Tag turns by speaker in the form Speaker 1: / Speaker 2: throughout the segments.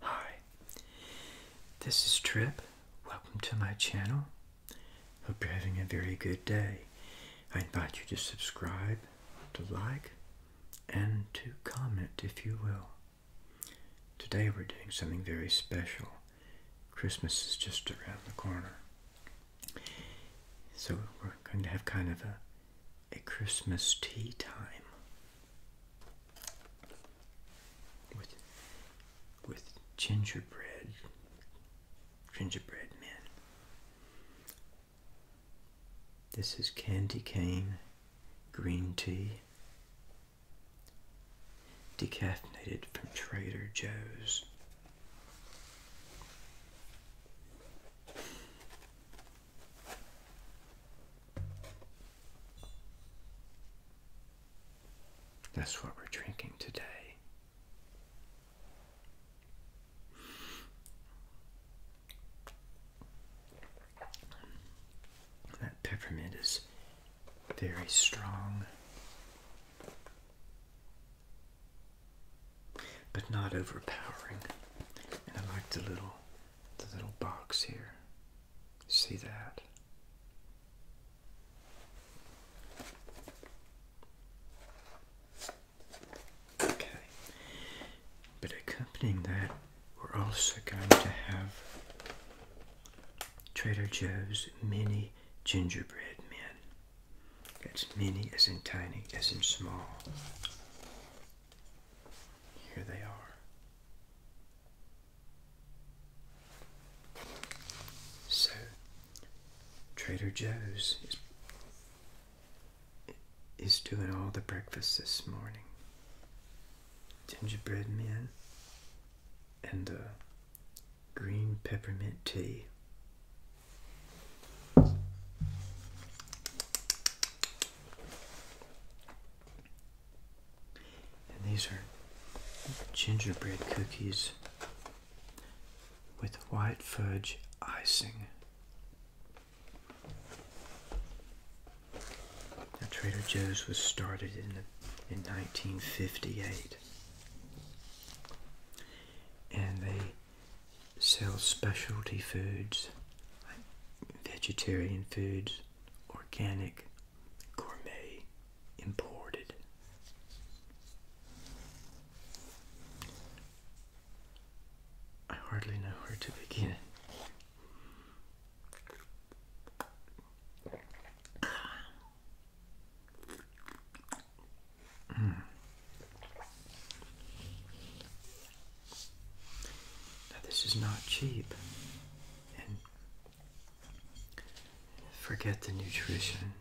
Speaker 1: Hi, this is Trip. Welcome to my channel. Hope you're having a very good day. I invite you to subscribe, to like, and to comment if you will. Today we're doing something very special. Christmas is just around the corner. So we're going to have kind of a a Christmas tea time with with gingerbread gingerbread men. This is candy cane green tea decaffeinated from Trader Joe's. That's what we're drinking today. That peppermint is very strong but not overpowering. And I like the little the little box here. See that? Okay. But accompanying that, we're also going to have Trader Joe's mini gingerbread men. That's many as in tiny as in small. Here they are. So, Trader Joe's is, is doing all the breakfast this morning. Gingerbread men and uh, green peppermint tea these are gingerbread cookies with white fudge icing. Now, Trader Joe's was started in, in 1958 and they Sell specialty foods, vegetarian foods, organic, gourmet, imported. I hardly know where to begin. Hmm. this is not cheap, and forget the nutrition,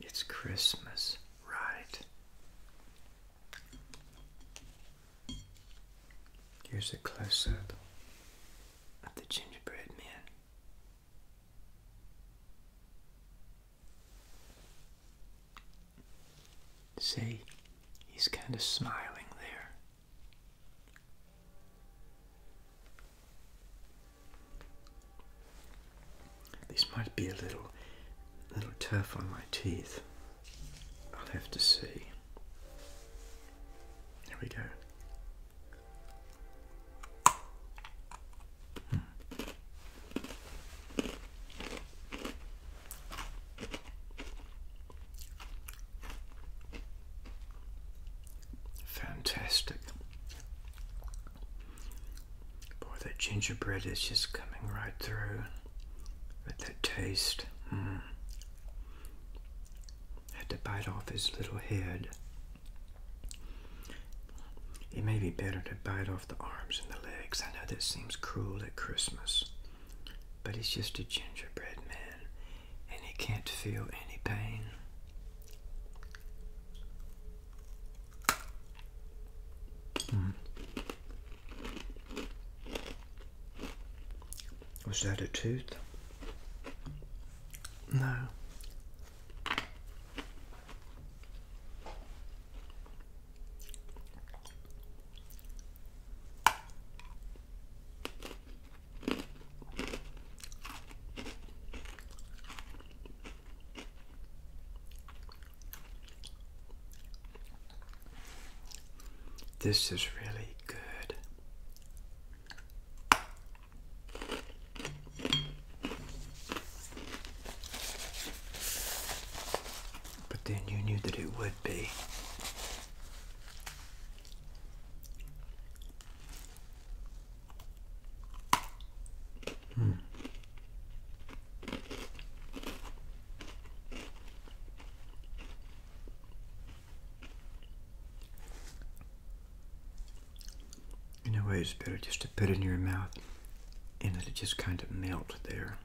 Speaker 1: it's Christmas, right? Here's a close up of the gingerbread man. See, he's kind of smiling there. This might be a little, little tough on my teeth. I'll have to see. There we go. Fantastic. Boy, that gingerbread is just coming right through with that taste. Mm. Had to bite off his little head. It may be better to bite off the arms and the legs. I know this seems cruel at Christmas, but he's just a gingerbread man and he can't feel any pain. Hmm. Was that a tooth? No. This is really good. But then you knew that it would be. Hmm. You know, it's better just Put it in your mouth and let it just kind of melt there.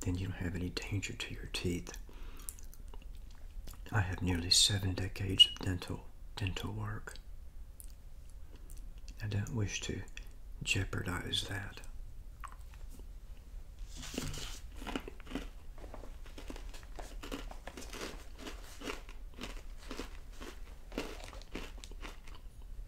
Speaker 1: Then you don't have any danger to your teeth. I have nearly seven decades of dental dental work. I don't wish to jeopardize that.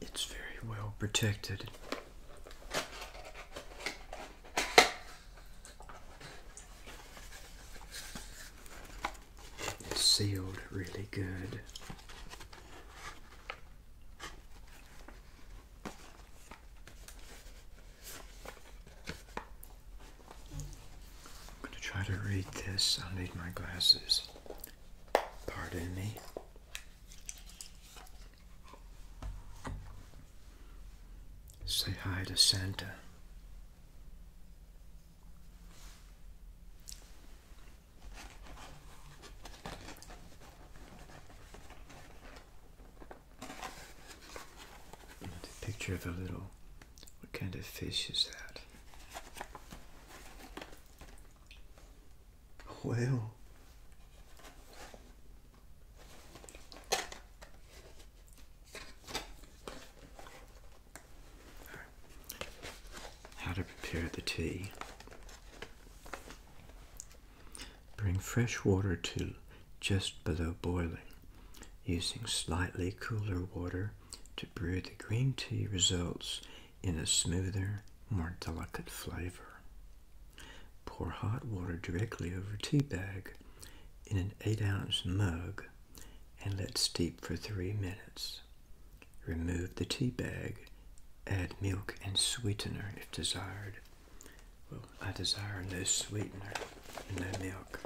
Speaker 1: It's very well protected. It's sealed really good. I'm going to try to read this. I'll need my glasses. Pardon me. Say hi to Santa. picture of a little what kind of fish is that? whale. How to prepare the tea. Bring fresh water to just below boiling using slightly cooler water to brew the green tea results in a smoother, more delicate flavor. Pour hot water directly over tea bag in an 8-ounce mug and let steep for 3 minutes. Remove the tea bag, add milk and sweetener if desired. Well, I desire no sweetener and no milk.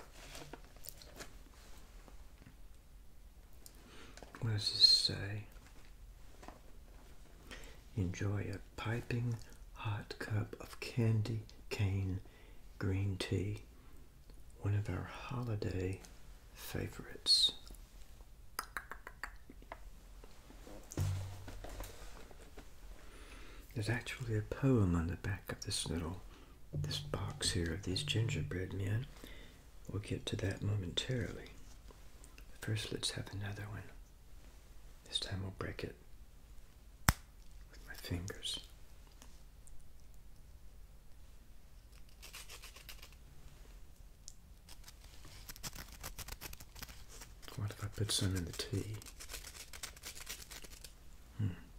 Speaker 1: What does this say? Enjoy a piping hot cup of candy cane green tea, one of our holiday favorites. There's actually a poem on the back of this little this box here of these gingerbread men. We'll get to that momentarily. First, let's have another one. This time we'll break it with my fingers. What if I put some in the tea? Hmm.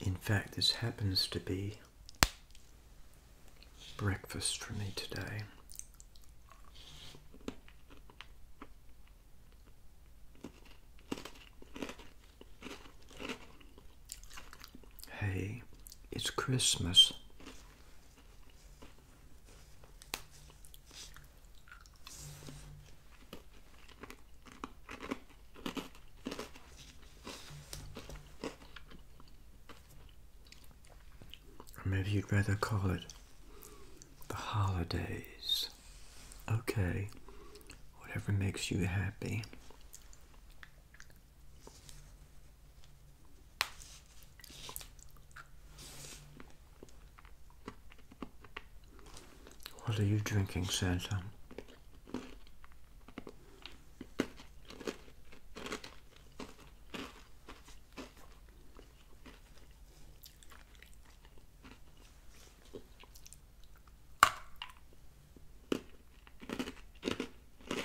Speaker 1: In fact, this happens to be breakfast for me today. Hey, it's Christmas. Or maybe you'd rather call it the holidays. Okay, whatever makes you happy. What are you drinking, Santa?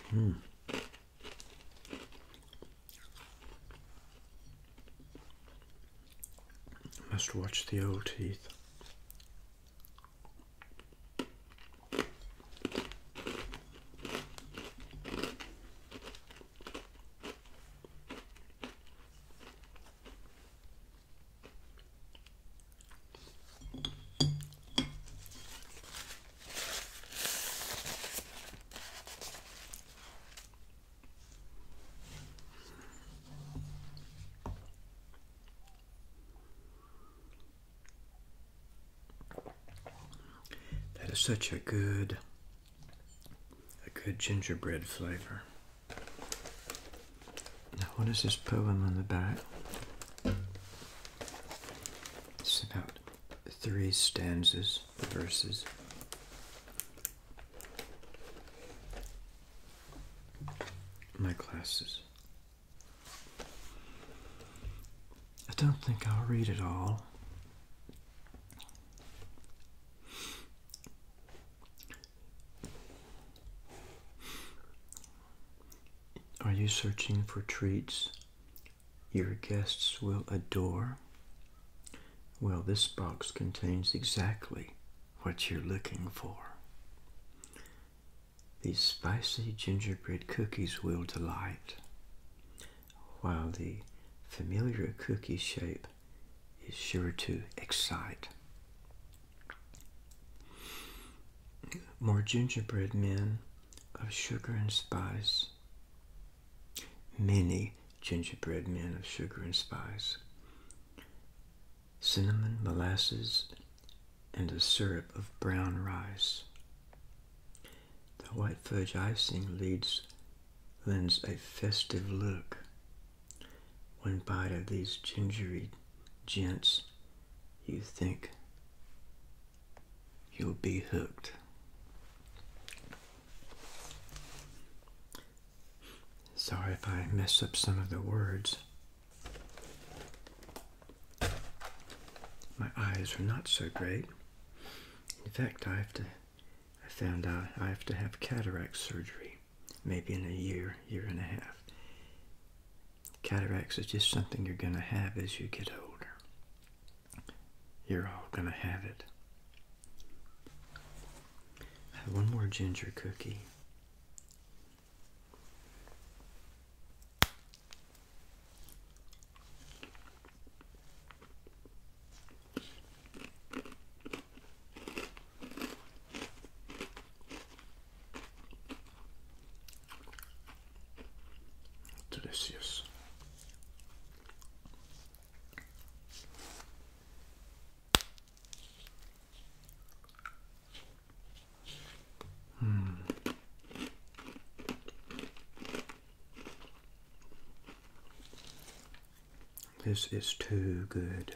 Speaker 1: Hmm. Must watch the old teeth. That is such a good a good gingerbread flavor. Now, what is this poem on the back? It's about three stanzas, verses. My classes. I don't think I'll read it all. Are you searching for treats your guests will adore? Well, this box contains exactly what you're looking for. These spicy gingerbread cookies will delight, while the familiar cookie shape is sure to excite. More gingerbread men of sugar and spice. Many gingerbread men of sugar and spice. Cinnamon, molasses, and a syrup of brown rice. The white fudge icing lends a festive look one bite of these gingery gents, you think you'll be hooked. Sorry if I mess up some of the words. My eyes are not so great. In fact, I have to I found out I have to have cataract surgery maybe in a year, year and a half. Cataracts is just something you're going to have as you get older. You're all going to have it. I have one more ginger cookie. Delicious. Hmm. This is too good.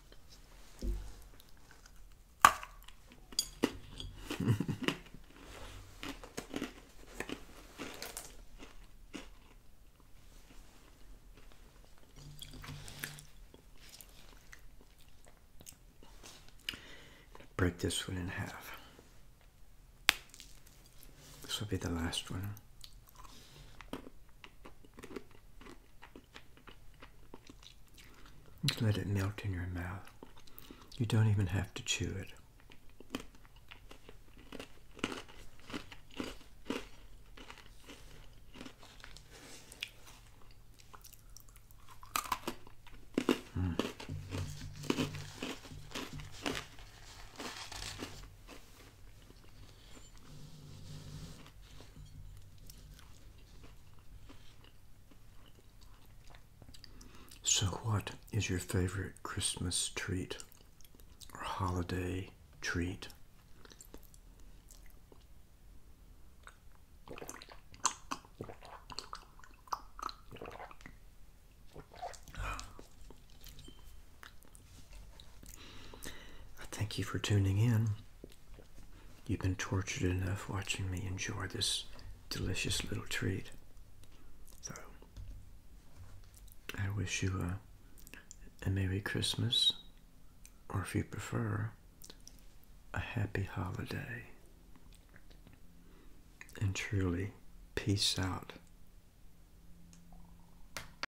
Speaker 1: Break this one in half. This will be the last one. Just let it melt in your mouth. You don't even have to chew it. So, what is your favorite Christmas treat or holiday treat? I thank you for tuning in. You've been tortured enough watching me enjoy this delicious little treat. So, I wish you a, a Merry Christmas, or if you prefer, a happy holiday. And truly, peace out.